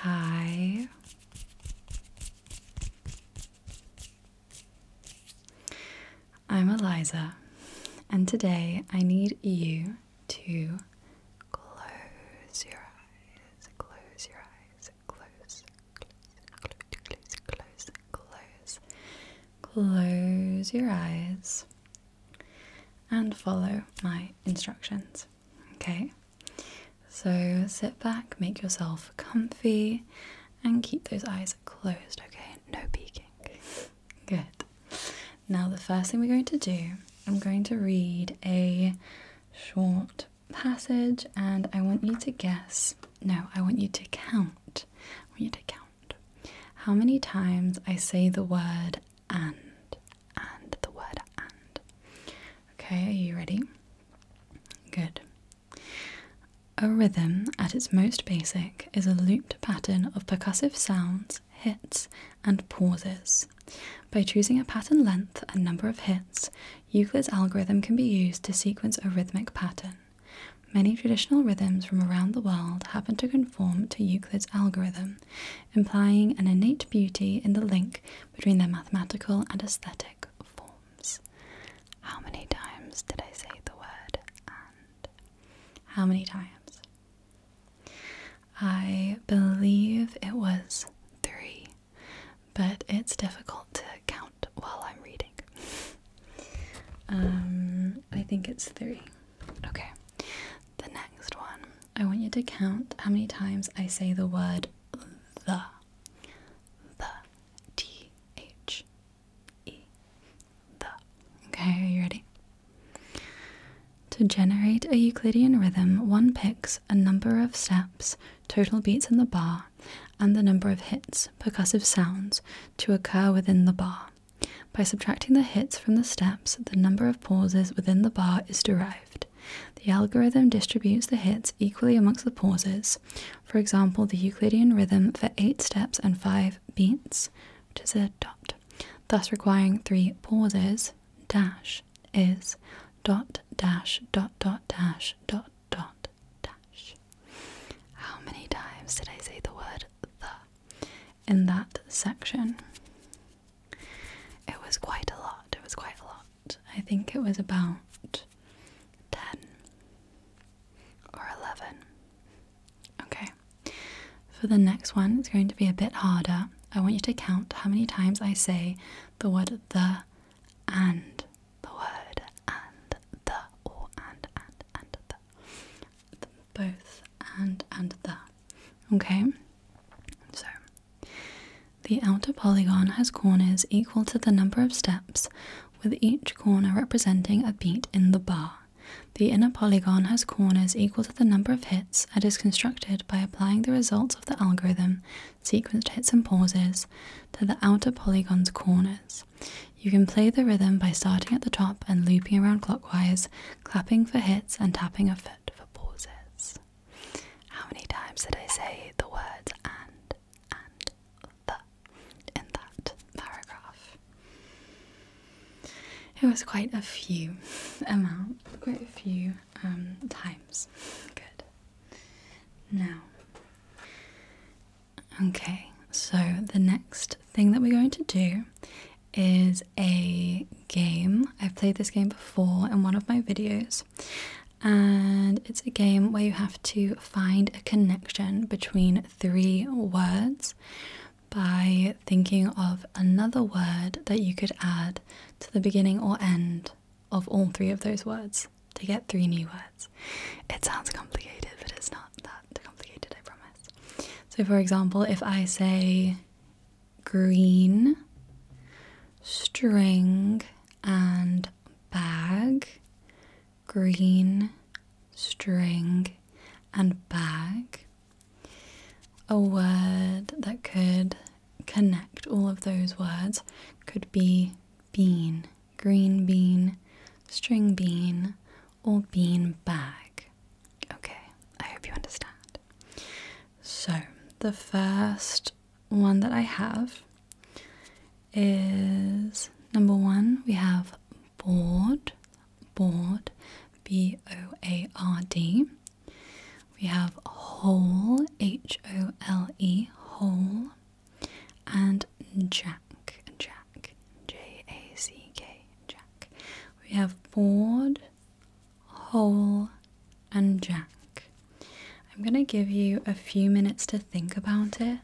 Hi. I'm Eliza, and today I need you to close your eyes, close your eyes, close, close, close, close, close, close, close your eyes and follow my instructions. Okay, so sit back, make yourself comfy, and keep those eyes closed. Okay, no peeking. Good. Now, the first thing we're going to do, I'm going to read a short passage and I want you to guess. No, I want you to count. I want you to count how many times I say the word and, and the word and. Okay, are you ready? Good. A rhythm at its most basic is a looped pattern of percussive sounds, hits, and pauses. By choosing a pattern length and number of hits, Euclid's algorithm can be used to sequence a rhythmic pattern. Many traditional rhythms from around the world happen to conform to Euclid's algorithm, implying an innate beauty in the link between their mathematical and aesthetic forms. How many times did I say the word and? How many times? I believe it was three, but it's difficult to count while I'm reading. um, I think it's three. Okay, the next one. I want you to count how many times I say the word the. The. T H E. The. Okay, are you ready? To generate a Euclidean rhythm, one picks a number of steps, total beats in the bar, and the number of hits, percussive sounds, to occur within the bar. By subtracting the hits from the steps, the number of pauses within the bar is derived. The algorithm distributes the hits equally amongst the pauses. For example, the Euclidean rhythm for 8 steps and 5 beats, which is a dot, thus requiring 3 pauses, dash, is, dot, dash, dot, dot, dash, dot, dot, dash. How many times did I say the word the? in that section. It was quite a lot, it was quite a lot. I think it was about 10 or 11. Okay, for the next one, it's going to be a bit harder. I want you to count how many times I say the word the and the word and the or and and and the both and and the. Okay? So, the outer polygon has corners equal to the number of steps, with each corner representing a beat in the bar. The inner polygon has corners equal to the number of hits and is constructed by applying the results of the algorithm, sequenced hits and pauses, to the outer polygon's corners. You can play the rhythm by starting at the top and looping around clockwise, clapping for hits, and tapping a foot for pauses. How many times did I say the words and, and, the in that paragraph? It was quite a few amount, quite a few um, times. Good. Now, Okay, so the next thing that we're going to do is a game. I've played this game before in one of my videos, and it's a game where you have to find a connection between three words by thinking of another word that you could add to the beginning or end of all three of those words to get three new words. It sounds complicated, but it's not that complicated, I promise. So, for example, if I say green, string, and bag, green, string, and bag, a word that could connect all of those words could be bean, green bean, string bean, or bean bag. Okay, I hope you understand. So, the first one that I have is number one, we have board, board, B O A R D. We have hole, H O L E, hole, and jack, jack. Jack. J A C K. We have board, hole, and jack. I'm going to give you a few minutes to think about it.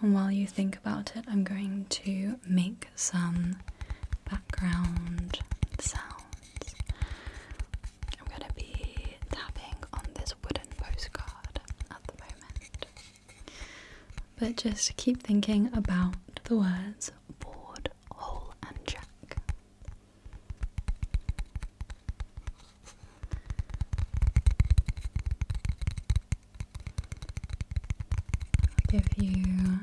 And while you think about it, I'm going to make some background sounds. I'm going to be tapping on this wooden postcard at the moment. But just keep thinking about the words board, hole, and jack. I'll give you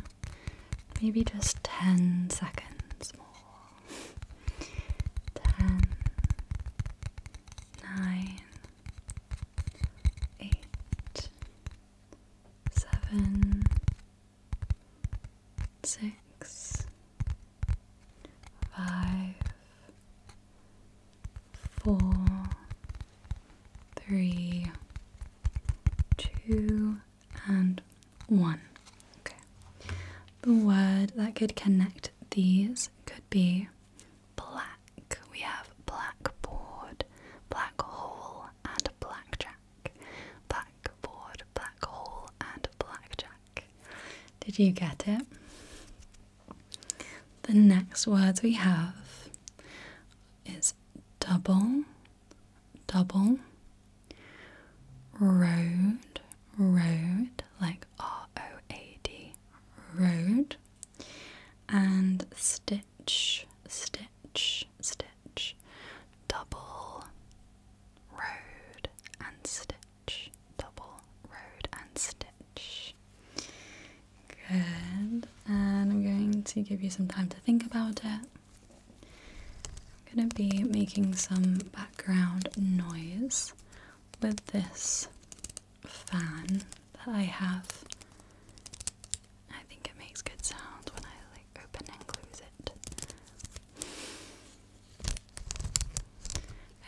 maybe just 10 seconds more. 10, eight, seven, six, five, four, three, two, and one. Okay. The word that could connect these could be black. We have blackboard, black hole, and blackjack. Blackboard, black hole, and blackjack. Did you get it? The next words we have is double, double, road, road, like R O A D, road, and stitch, stitch, stitch, double road and stitch, double road and stitch. Good, and I'm going to give you some time to think about it. I'm going to be making some background noise with this fan that I have. I think it makes good sounds when I like open and close it.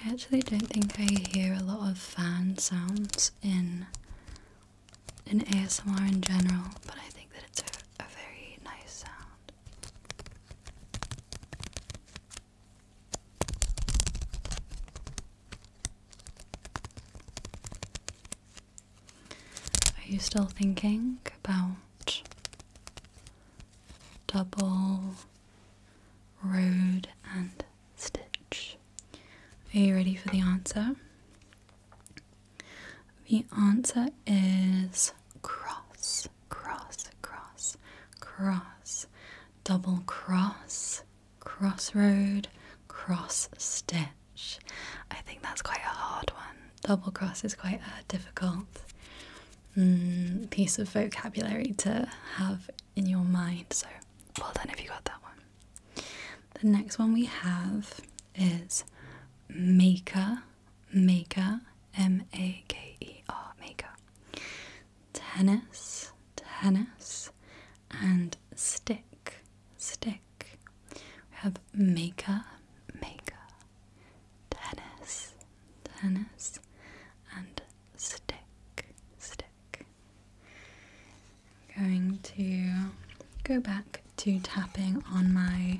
I actually don't think I hear a lot of fan sounds in in ASMR in general, but I think that it's a very nice sound. Are you still thinking about double road and stitch? Are you ready for the answer? The answer is cross, cross, cross, cross, double cross, crossroad, cross stitch. I think that's quite a hard one. Double cross is quite a difficult mm, piece of vocabulary to have in your mind. So well done if you got that one. The next one we have is maker, maker, M A K E R, maker tennis, tennis, and stick, stick. We have maker, maker, tennis, tennis, and stick, stick. I'm going to go back to tapping on my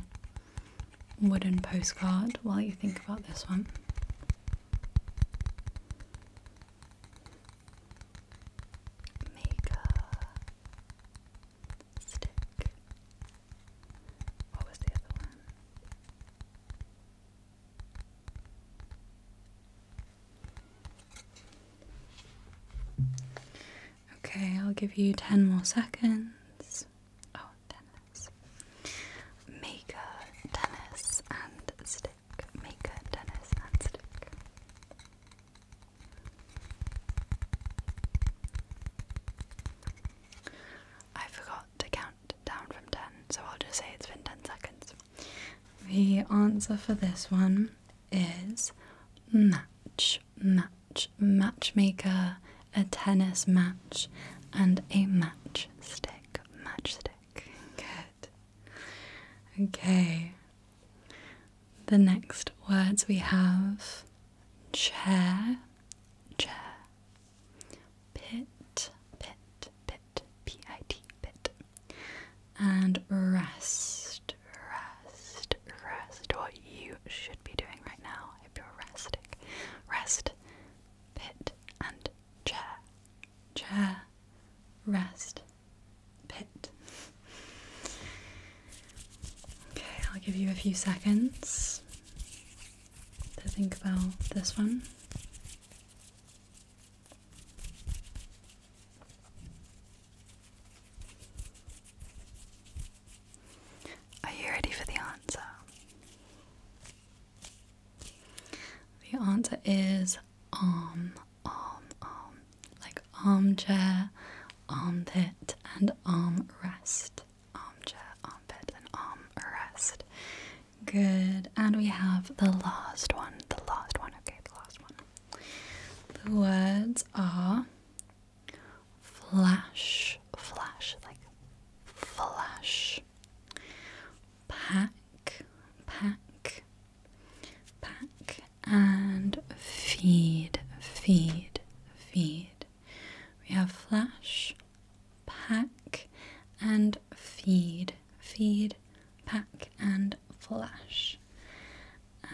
wooden postcard while you think about this one make stick. What was the other one? Okay, I'll give you 10 more seconds. Oh, tennis. Make a tennis and stick maker tennis and I forgot to count down from 10, so I'll just say it's been 10 seconds. The answer for this one is match, match, matchmaker, a tennis match, and a matchstick, matchstick. Good. Good. Okay. The next words we have chair, chair, pit, pit, pit, P I T, pit, and rest, rest, rest. What you should be doing right now if you're resting. Rest, pit, and chair chair, rest, pit. Okay, I'll give you a few seconds to think about this one. Are you ready for the answer? The answer is arm, um, arm, um, arm, um, like armchair, armpit, and armrest. Armchair, pit, and armrest. Good. And we have the last one. The last one. Okay, the last one. The words are flash, flash, like flash, pack, pack, pack, and feed, feed, feed. We have flash, pack, and feed, feed, pack, and flash.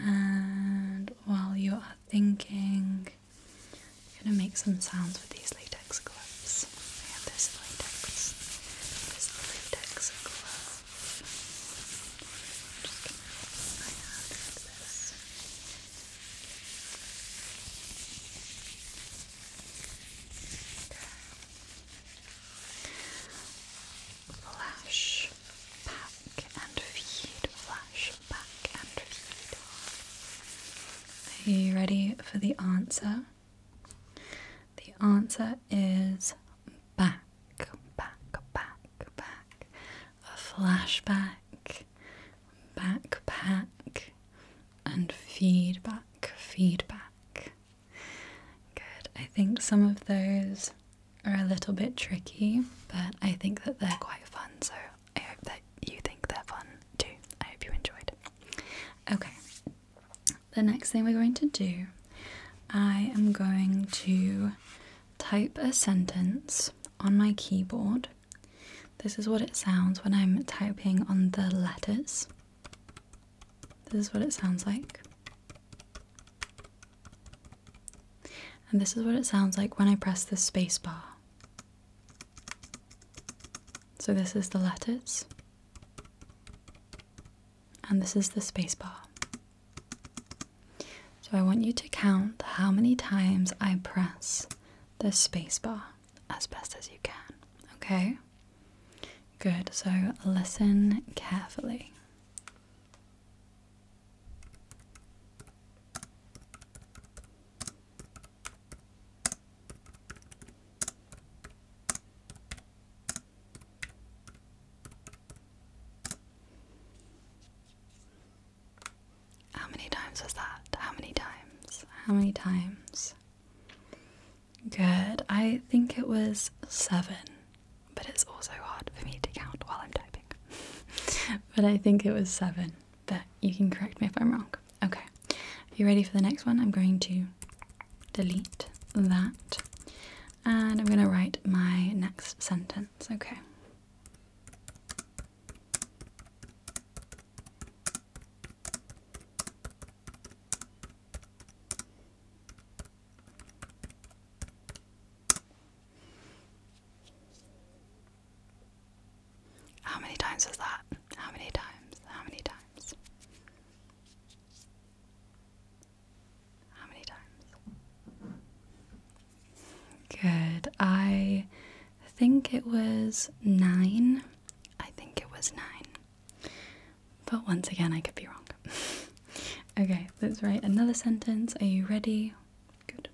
And while you are thinking, I'm going to make some sounds with these later latex gloves. I have this latex. This I'm this. Flash back and feed. Flash back and feed. Are you ready for the answer? The answer is back, back, back, back. A flashback, backpack, and feedback, feedback. Good. I think some of those are a little bit tricky, but I think that they're quite fun, so I hope that you think they're fun too. I hope you enjoyed. Okay the next thing we're going to do, I am going to type a sentence on my keyboard. This is what it sounds when I'm typing on the letters. This is what it sounds like. And this is what it sounds like when I press the space bar. So this is the letters. And this is the space bar. So I want you to count how many times I press the space bar as best as you can, okay? Good, so listen carefully. How many times was that? How many times? How many times? Good. I think it was seven, but it's also hard for me to count while I'm typing. but I think it was seven, but you can correct me if I'm wrong. Okay, if you're ready for the next one, I'm going to delete that and I'm going to write my next sentence. Okay. How many times was that? How many times? How many times? How many times? Good. I think it was nine. I think it was nine. But once again, I could be wrong. okay, let's write another sentence. Are you ready? Good.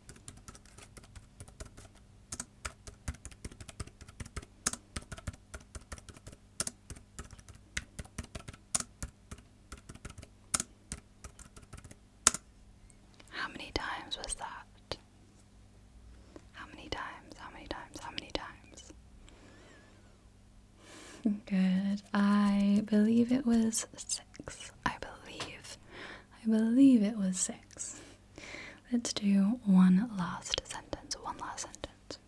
How many times was that? How many times? How many times? How many times? Good. I believe it was six. I believe. I believe it was six. Let's do one last sentence. One last sentence.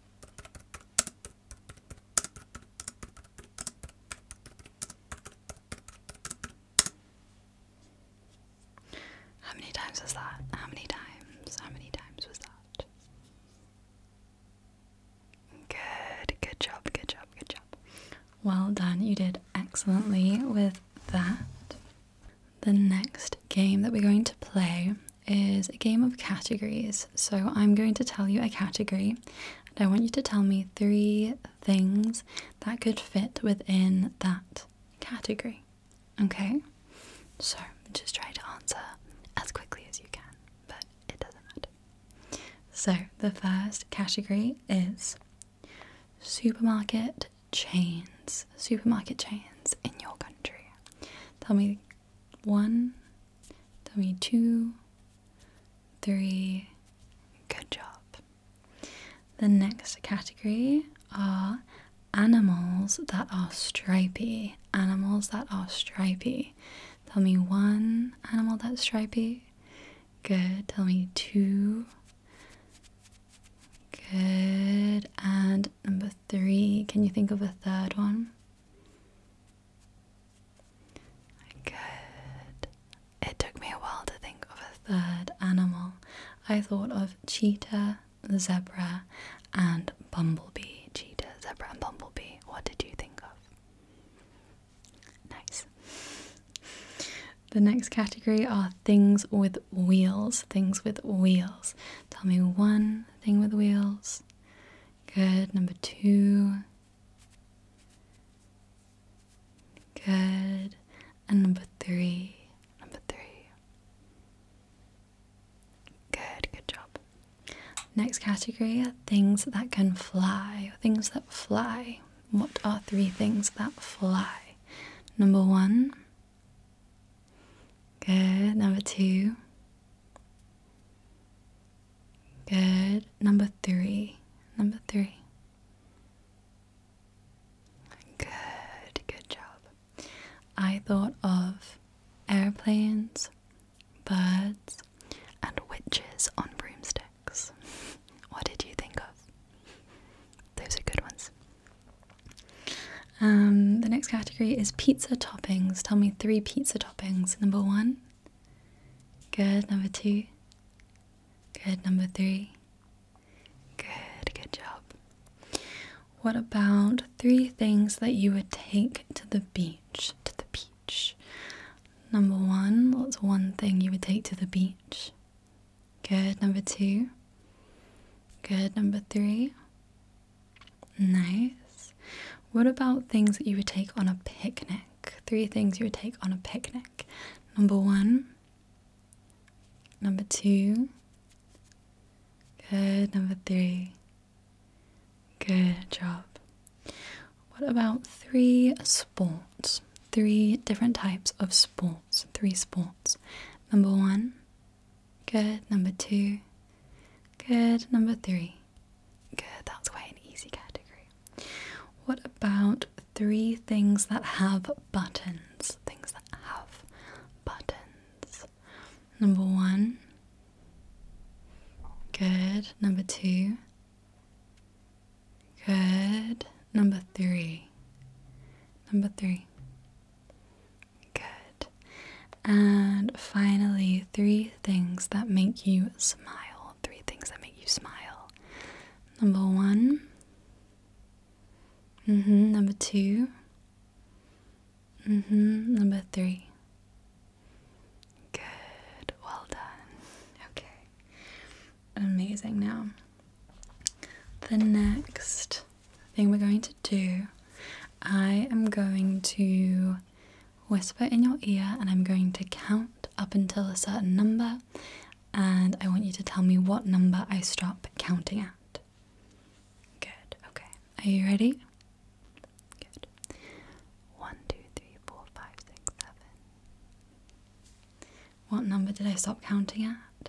How many times was that? How many times? How many times was that? Good, good job, good job, good job. Well done, you did excellently with that. The next game that we're going to play is a game of categories. So I'm going to tell you a category and I want you to tell me three things that could fit within that category. Okay? So just try to answer as quickly as you can, but it doesn't matter. So the first category is supermarket chains, supermarket chains in your country? Tell me one, tell me two, three. Good job. The next category are animals that are stripy. Animals that are stripy. Tell me one animal that's stripy. Good. Tell me two. Good. And number three, can you think of a third one? Good. It took me a while to think of a third animal. I thought of cheetah, zebra, and bumblebee. Cheetah, zebra, and bumblebee. What did you think of? Nice. The next category are things with wheels, things with wheels. Tell me one thing with wheels. Good. Number two. Good. And number three. Number three. Good, good job. Next category things that can fly, things that fly. What are three things that fly? Number one, Good. Number two. Good. Number three. Number three. Good. Good job. I thought of airplanes, birds, and witches on broomsticks. what did you think of? Those are good ones. Um, the next category is pizza toppings. Tell me three pizza toppings. Number one. Good. Number two. Good. Number three. Good. Good job. What about three things that you would take to the beach? To the beach. Number one. What's one thing you would take to the beach? Good. Number two. Good. Number three. Nice. What about things that you would take on a picnic? Three things you would take on a picnic. Number one. Number two. Good. Number three. Good job. What about three sports? Three different types of sport sports, three sports. Number one, good. Number two, good. Number three, good. That's quite an easy category. What about three things that have buttons? Things that have buttons. Number one, good. Number two, good. Number three, number three. Good. And finally, three things that make you smile. Three things that make you smile. Number one. hmm. Number two. hmm. Number three. Good. Well done. Okay amazing now. The next thing we're going to do, I am going to whisper in your ear and I'm going to count up until a certain number, and I want you to tell me what number I stop counting at. Good, okay. Are you ready? Good. One, two, three, four, five, six, seven. What number did I stop counting at?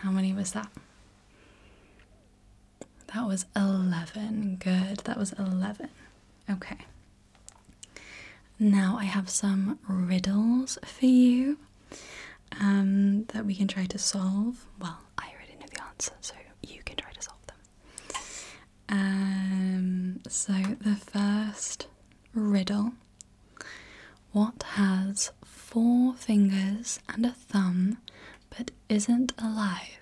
How many was that? That was 11. Good. That was 11. Okay. Now I have some riddles for you um, that we can try to solve. Well, I already know the answer, so you can try to solve them. Um, so the first riddle what has four fingers and a thumb but isn't alive?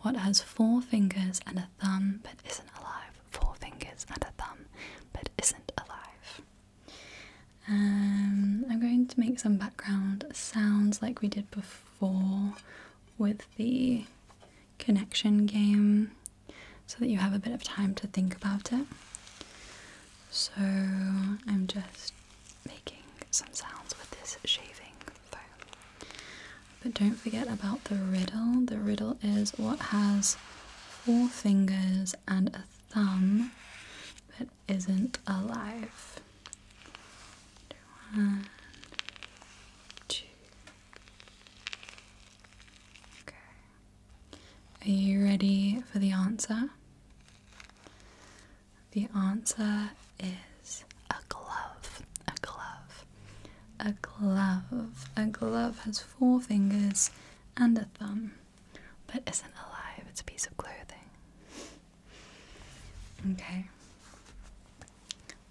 What has four fingers and a thumb but isn't alive? Four fingers and a thumb but isn't alive. Um, I'm going to make some background sounds like we did before with the connection game so that you have a bit of time to think about it. So I'm just making some sounds with this shaving foam. But don't forget about the riddle. The riddle is what has four fingers and a thumb but isn't alive. One, two. Okay. Are you ready for the answer? The answer is a glove. A glove. A glove. A glove has four fingers and a thumb, but isn't alive. It's a piece of clothing. Okay.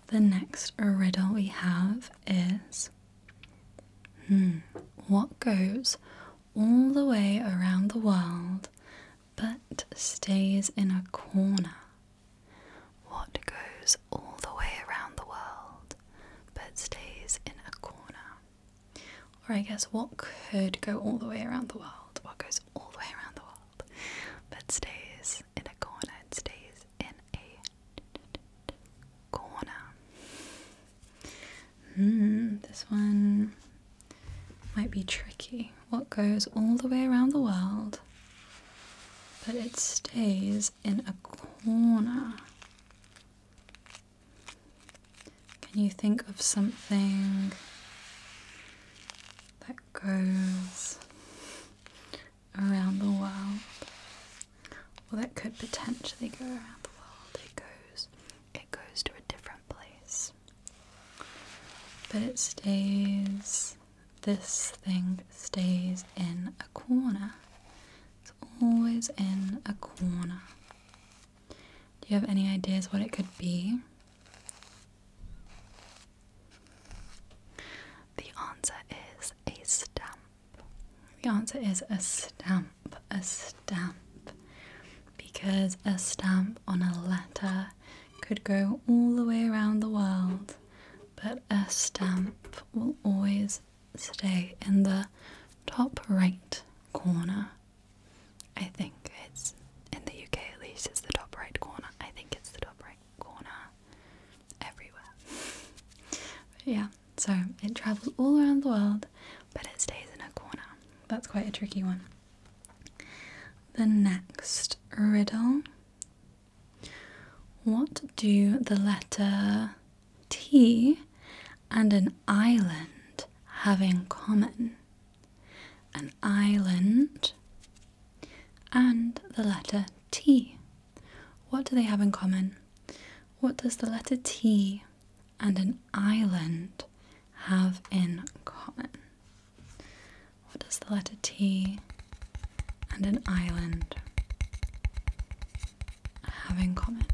The next riddle we have is Hmm, what goes all the way around the world but stays in a corner? What goes all the way around the world but stays in a corner? Or I guess what could go all the way around the world? What goes all the way around the world but stays in a corner and stays in a corner. Hmm, this one might be tricky. What goes all the way around the world, but it stays in a corner? Can you think of something that goes around the world? Well, that could potentially go around the world. It goes, it goes to a different place, but it stays. This thing stays in a corner. It's always in a corner. Do you have any ideas what it could be? The answer is a stamp. The answer is a stamp, a stamp, because a stamp on a letter could go all the way around the world, but a stamp will always stay in the top right corner. I think it's in the UK at least, it's the top right corner. I think it's the top right corner everywhere. yeah, so it travels all around the world, but it stays in a corner. That's quite a tricky one. The next riddle What do the letter T and an island have in common? An island and the letter T. What do they have in common? What does the letter T and an island have in common? What does the letter T and an island have in common?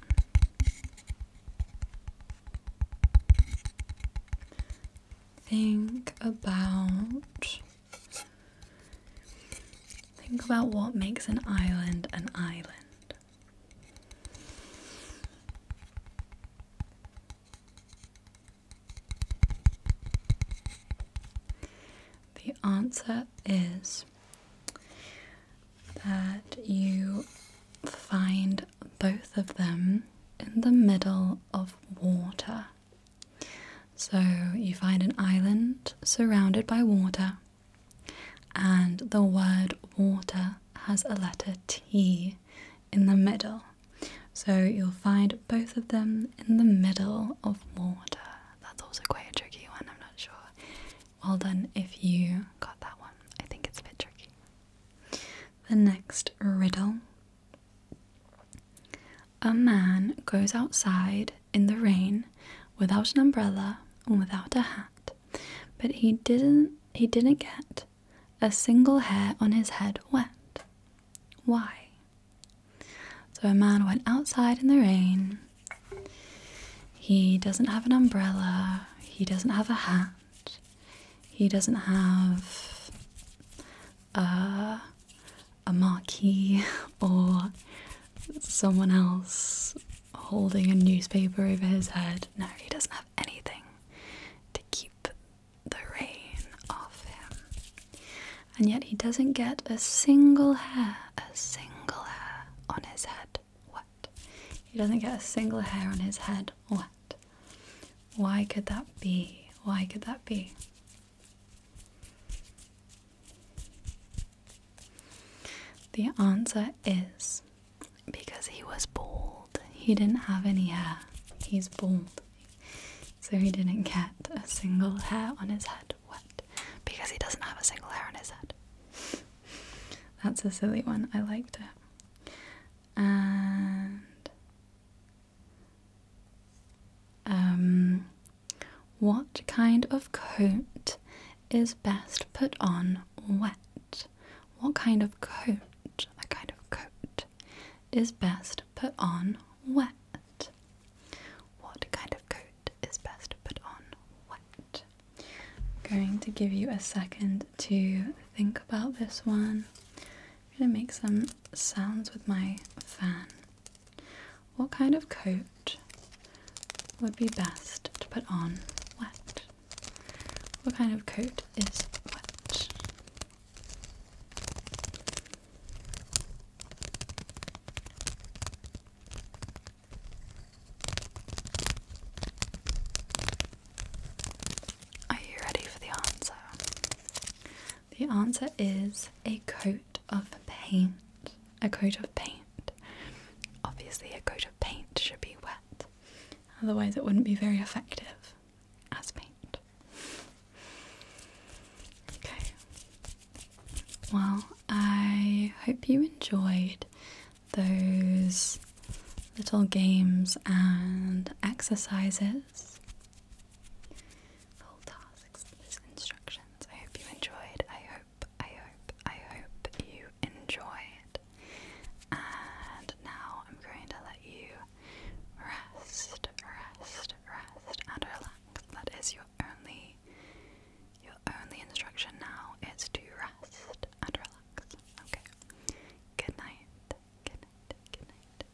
Think about Think about what makes an island an island. The answer is that you find both of them in the middle of water. So you find an island surrounded by water, and the word water has a letter T in the middle. So you'll find both of them in the middle of water. That's also quite a tricky one, I'm not sure. Well done if you got that one. I think it's a bit tricky. The next riddle. A man goes outside in the rain without an umbrella and without a hat, but he didn't he didn't get a single hair on his head wet. Why? So a man went outside in the rain. He doesn't have an umbrella, he doesn't have a hat, he doesn't have a uh, a marquee or someone else holding a newspaper over his head. No, he doesn't have anything to keep the rain off him. And yet he doesn't get a single hair, a single hair on his head wet. He doesn't get a single hair on his head wet. Why could that be? Why could that be? The answer is because he was bald. He didn't have any hair. He's bald. So he didn't get a single hair on his head What? because he doesn't have a single hair on his head. That's a silly one. I liked it. And um what kind of coat is best put on wet? What kind of coat, a kind of coat, is best put on wet? What kind of coat is best put on wet? going to give you a second to think about this one. I'm going to make some sounds with my fan. What kind of coat would be best to put on wet? What kind of coat is wet? Are you ready for the answer? The answer is a coat of paint. A coat of paint. Obviously, a coat of paint should be wet, otherwise, it wouldn't be very effective as paint. Okay. Well, I hope you enjoyed those little games and exercises full tasks instructions. I hope you enjoyed. I hope, I hope, I hope you enjoyed. And now I'm going to let you rest, rest, rest, and relax. That is your only, your only instruction now it's to rest and relax. Okay. Good night. Good night. Good night.